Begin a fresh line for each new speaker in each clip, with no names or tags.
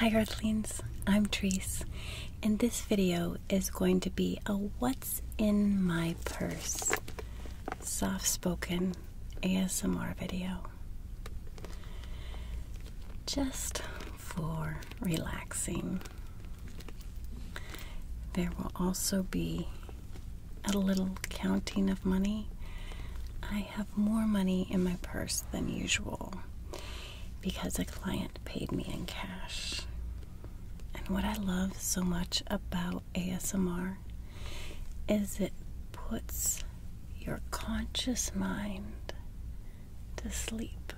Hi Earthlings, I'm Treese, and this video is going to be a What's in My Purse soft spoken ASMR video. Just for relaxing. There will also be a little counting of money. I have more money in my purse than usual because a client paid me in cash. And what I love so much about ASMR is it puts your conscious mind to sleep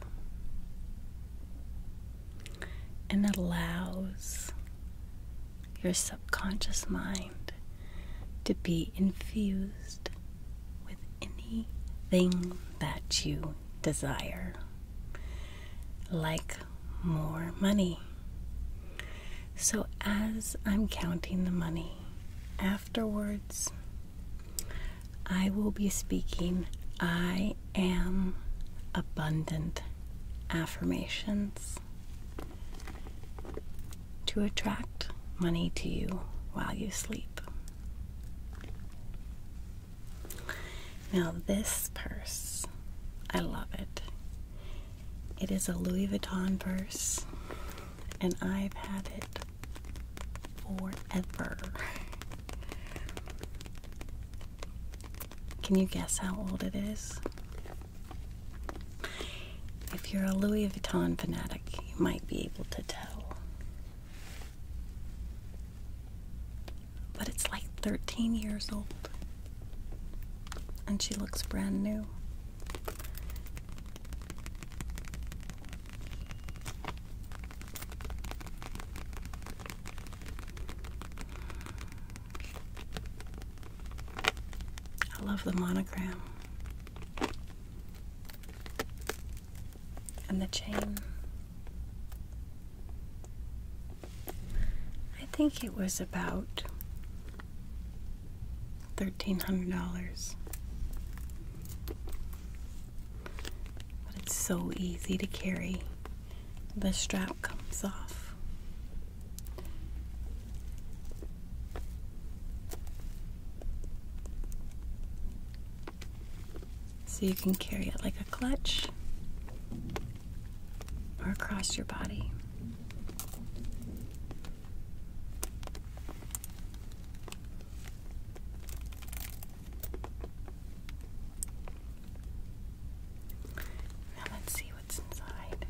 and allows your subconscious mind to be infused with anything that you desire, like more money. So, as I'm counting the money, afterwards, I will be speaking I am abundant affirmations to attract money to you while you sleep. Now, this purse, I love it. It is a Louis Vuitton purse, and I've had it forever. Can you guess how old it is? If you're a Louis Vuitton fanatic, you might be able to tell. But it's like 13 years old. And she looks brand new. I love the monogram and the chain. I think it was about $1,300. But it's so easy to carry. The strap comes off. So you can carry it like a clutch or across your body. Now let's see what's inside.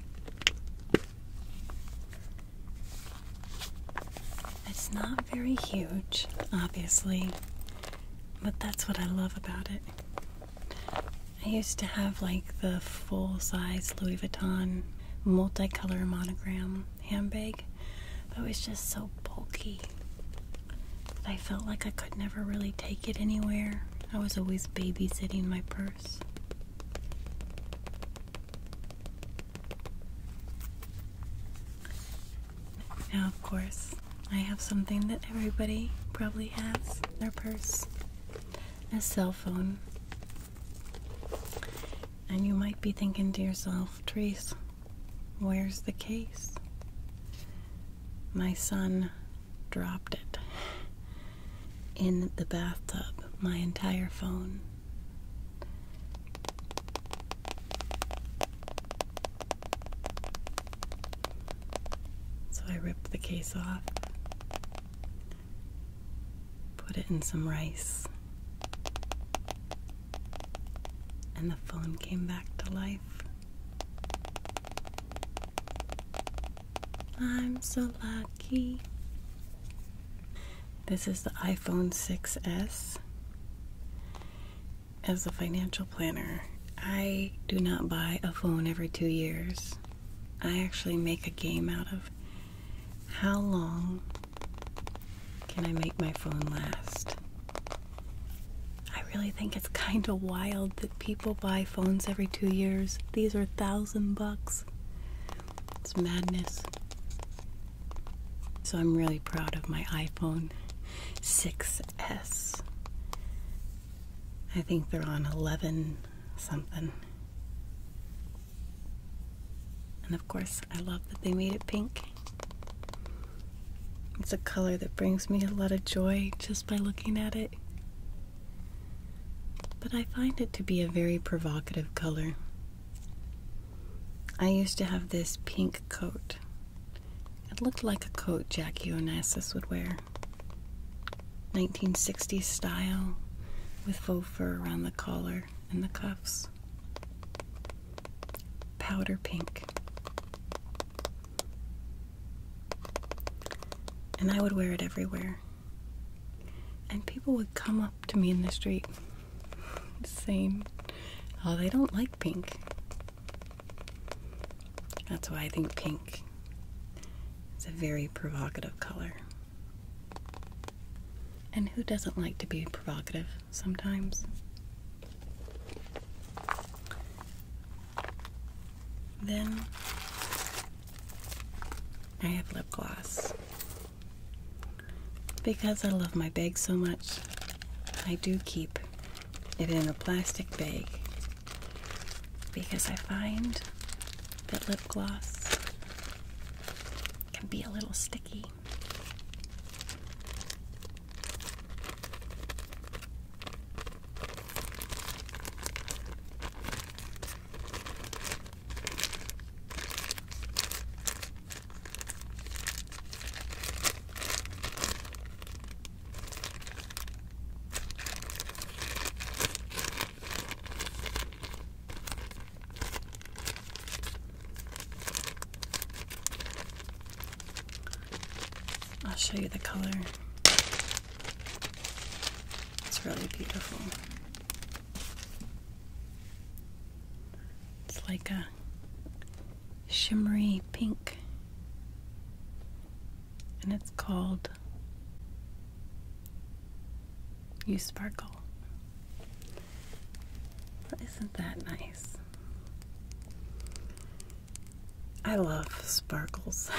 It's not very huge, obviously, but that's what I love about it. I used to have like the full size Louis Vuitton multicolor monogram handbag, but it was just so bulky that I felt like I could never really take it anywhere. I was always babysitting my purse. Now, of course, I have something that everybody probably has their purse a cell phone. And you might be thinking to yourself, Trace, where's the case? My son dropped it in the bathtub, my entire phone. So I ripped the case off, put it in some rice, and the phone came back to life. I'm so lucky. This is the iPhone 6S. As a financial planner, I do not buy a phone every two years. I actually make a game out of how long can I make my phone last? I really think it's kind of wild that people buy phones every two years. These are thousand bucks. It's madness. So I'm really proud of my iPhone 6S. I think they're on 11 something. And of course, I love that they made it pink. It's a color that brings me a lot of joy just by looking at it. But I find it to be a very provocative color. I used to have this pink coat. It looked like a coat Jackie Onassis would wear. 1960s style, with faux fur around the collar and the cuffs. Powder pink. And I would wear it everywhere. And people would come up to me in the street same. Oh, they don't like pink. That's why I think pink is a very provocative color. And who doesn't like to be provocative sometimes? Then I have lip gloss. Because I love my bag so much, I do keep it in a plastic bag because I find that lip gloss can be a little sticky. I'll show you the color. It's really beautiful. It's like a shimmery pink, and it's called You Sparkle. isn't that nice? I love sparkles,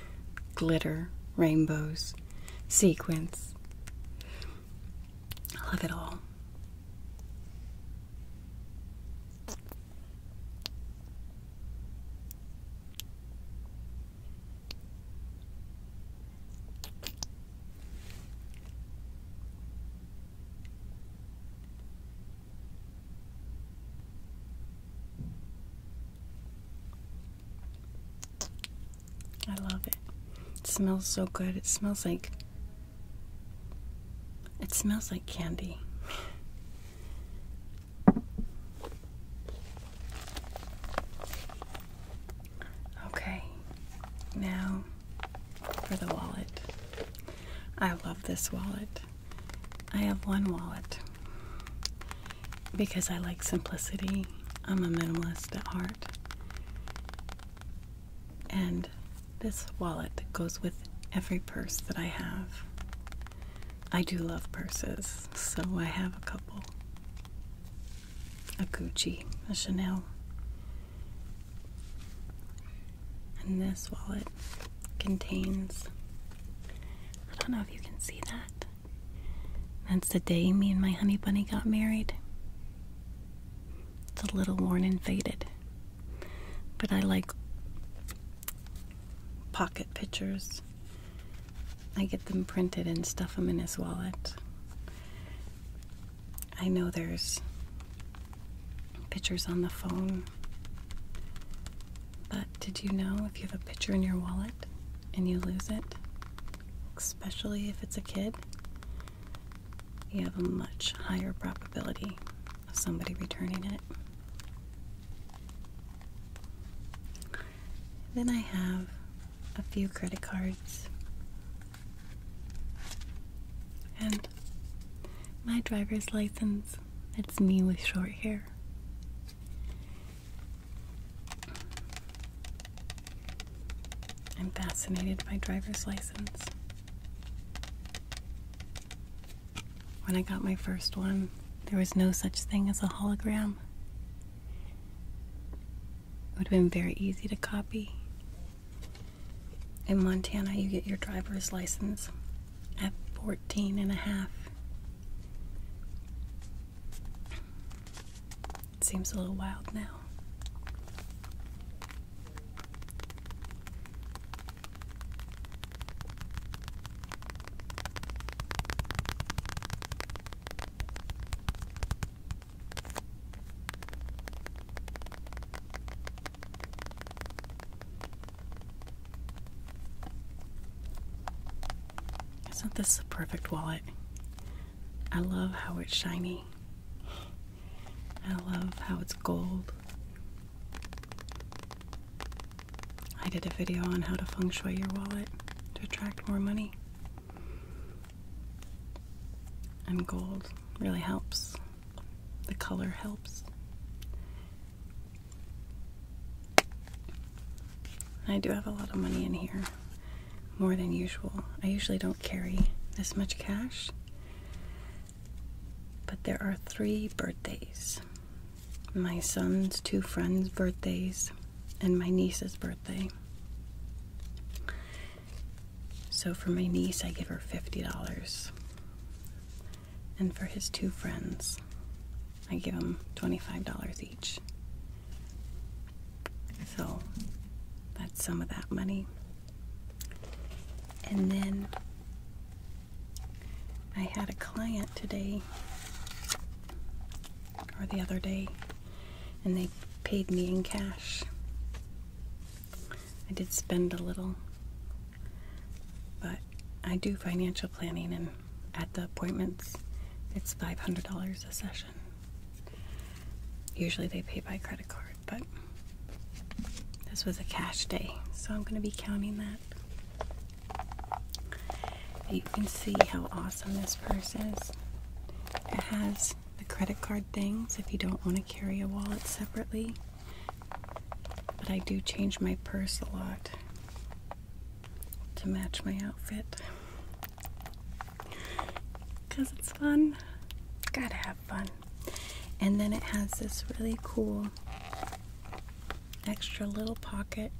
glitter, rainbows, sequins. I love it all. I love it. It smells so good. It smells like it smells like candy. okay, now for the wallet. I love this wallet. I have one wallet because I like simplicity. I'm a minimalist at heart. And this wallet goes with every purse that I have. I do love purses, so I have a couple a Gucci, a Chanel. And this wallet contains, I don't know if you can see that. That's the day me and my honey bunny got married. It's a little worn and faded. But I like pocket pictures. I get them printed and stuff them in his wallet. I know there's pictures on the phone. But did you know if you have a picture in your wallet and you lose it, especially if it's a kid, you have a much higher probability of somebody returning it. Then I have a few credit cards. And my driver's license. It's me with short hair. I'm fascinated by driver's license. When I got my first one, there was no such thing as a hologram. It would have been very easy to copy. In Montana, you get your driver's license at 14 and a half. It seems a little wild now. Isn't this a perfect wallet? I love how it's shiny. I love how it's gold. I did a video on how to feng shui your wallet to attract more money. And gold really helps. The color helps. I do have a lot of money in here more than usual. I usually don't carry this much cash, but there are three birthdays my son's two friends' birthdays, and my niece's birthday. So for my niece, I give her $50. And for his two friends, I give them $25 each. So that's some of that money. And then I had a client today or the other day, and they paid me in cash. I did spend a little, but I do financial planning, and at the appointments, it's $500 a session. Usually they pay by credit card, but this was a cash day, so I'm going to be counting that. You can see how awesome this purse is. It has the credit card things if you don't want to carry a wallet separately. But I do change my purse a lot to match my outfit because it's fun. Gotta have fun. And then it has this really cool extra little pocket.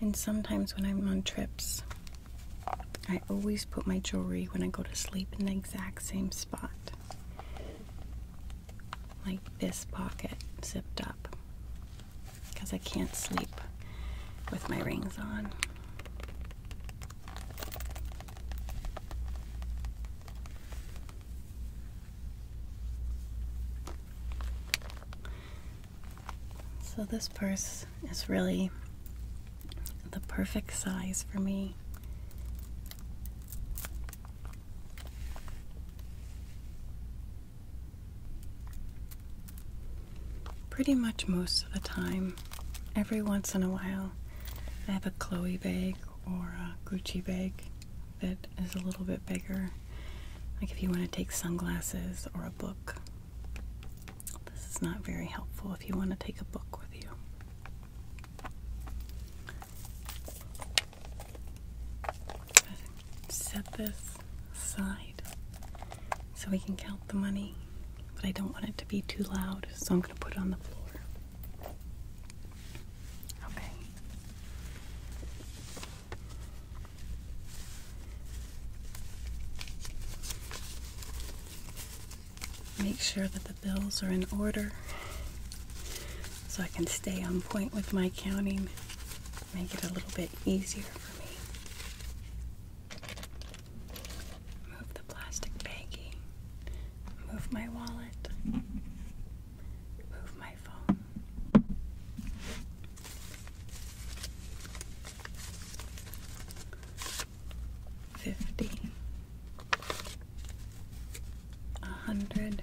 And sometimes when I'm on trips, I always put my jewelry when I go to sleep in the exact same spot. Like this pocket zipped up because I can't sleep with my rings on. So this purse is really the perfect size for me. Pretty much most of the time, every once in a while, I have a Chloe bag or a Gucci bag that is a little bit bigger. Like if you want to take sunglasses or a book. This is not very helpful if you want to take a book with you set this aside so we can count the money, but I don't want it to be too loud, so I'm going to put it on the floor. Okay. Make sure that the bills are in order so I can stay on point with my counting make it a little bit easier for me. Move the plastic baggie. Move my wallet. Move my phone. Fifty. A hundred.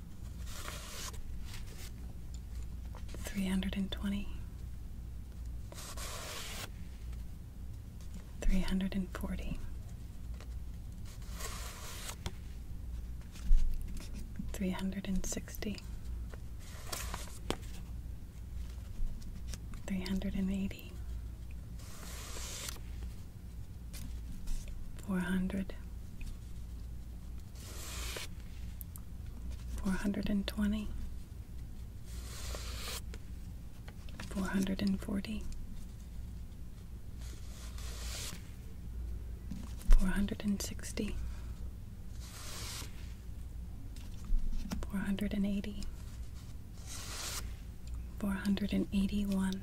Three hundred and twenty. Three hundred and forty. Three hundred and sixty. Three hundred and eighty. Four hundred. Four hundred and twenty. Four hundred and forty. Four hundred and sixty. Four hundred and eighty. Four hundred and eighty-one.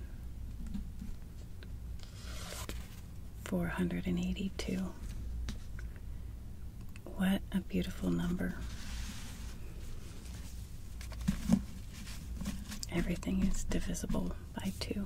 482. What a beautiful number. Everything is divisible by 2.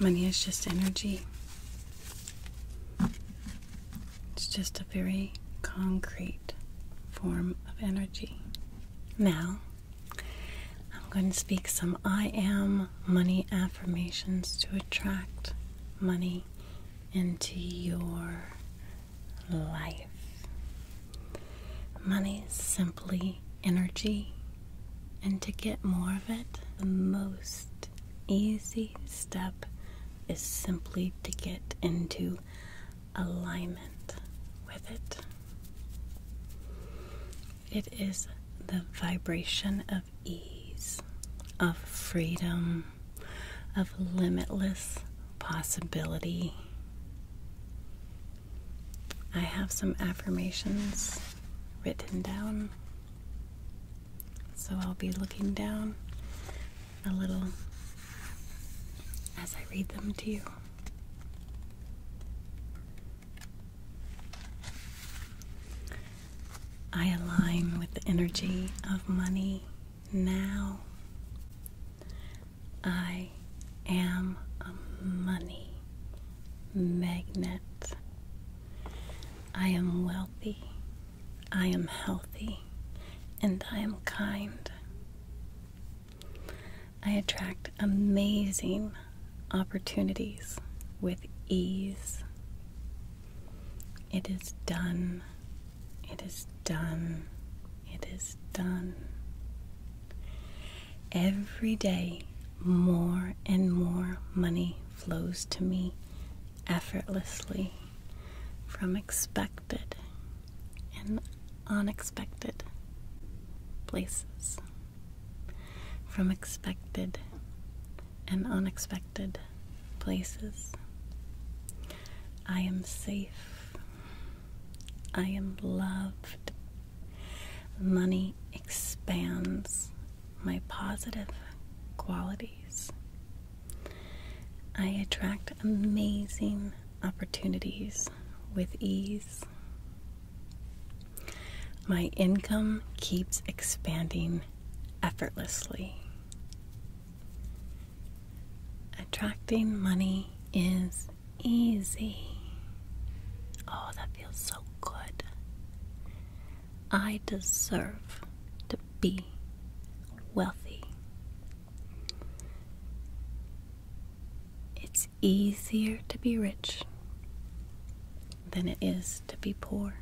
Money is just energy. It's just a very concrete form of energy. Now, I'm going to speak some I am money affirmations to attract money into your life. Money is simply energy, and to get more of it, the most easy step is simply to get into alignment with it. It is the vibration of ease, of freedom, of limitless possibility. I have some affirmations written down, so I'll be looking down a little as I read them to you. I align with the energy of money now. I am a money magnet. I am wealthy. I am healthy. And I am kind. I attract amazing opportunities with ease. It is done. It is done. It is done. Every day, more and more money flows to me effortlessly from expected and unexpected places, from expected and unexpected places. I am safe. I am loved. Money expands my positive qualities. I attract amazing opportunities with ease. My income keeps expanding effortlessly. Attracting money is easy. Oh, that feels so good. I deserve to be wealthy. It's easier to be rich than it is to be poor.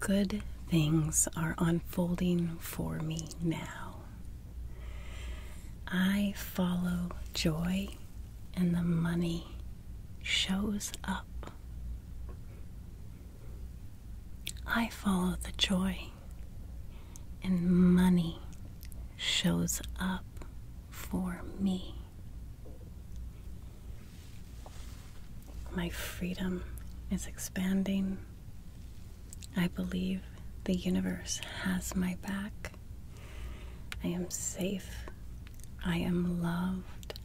Good things are unfolding for me now. I follow joy, and the money shows up. I follow the joy, and money shows up for me. My freedom is expanding. I believe the universe has my back. I am safe. I am loved.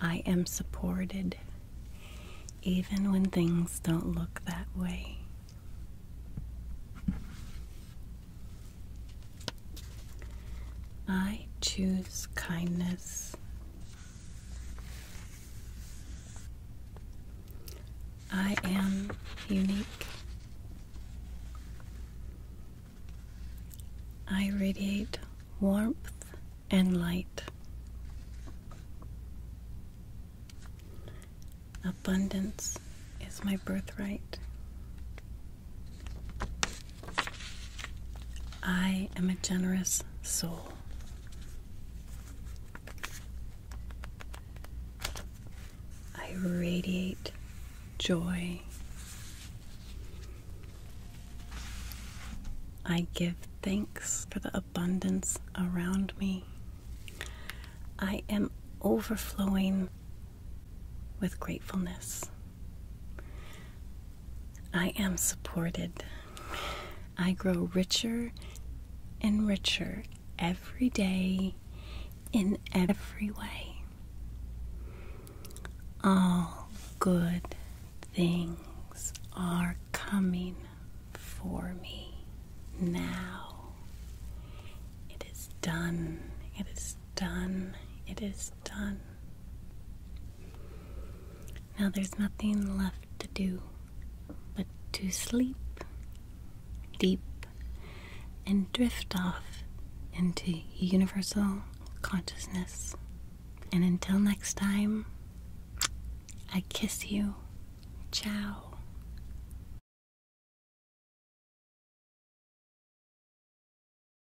I am supported. Even when things don't look that way. I choose kindness. I am unique. I radiate warmth and light. Abundance is my birthright. I am a generous soul. I radiate joy. I give thanks for the abundance around me. I am overflowing with gratefulness. I am supported. I grow richer and richer every day in every way. All good things are coming for me now. It is done. It is done. It is done. Now there's nothing left to do but to sleep deep and drift off into universal consciousness. And until next time, I kiss you. Ciao.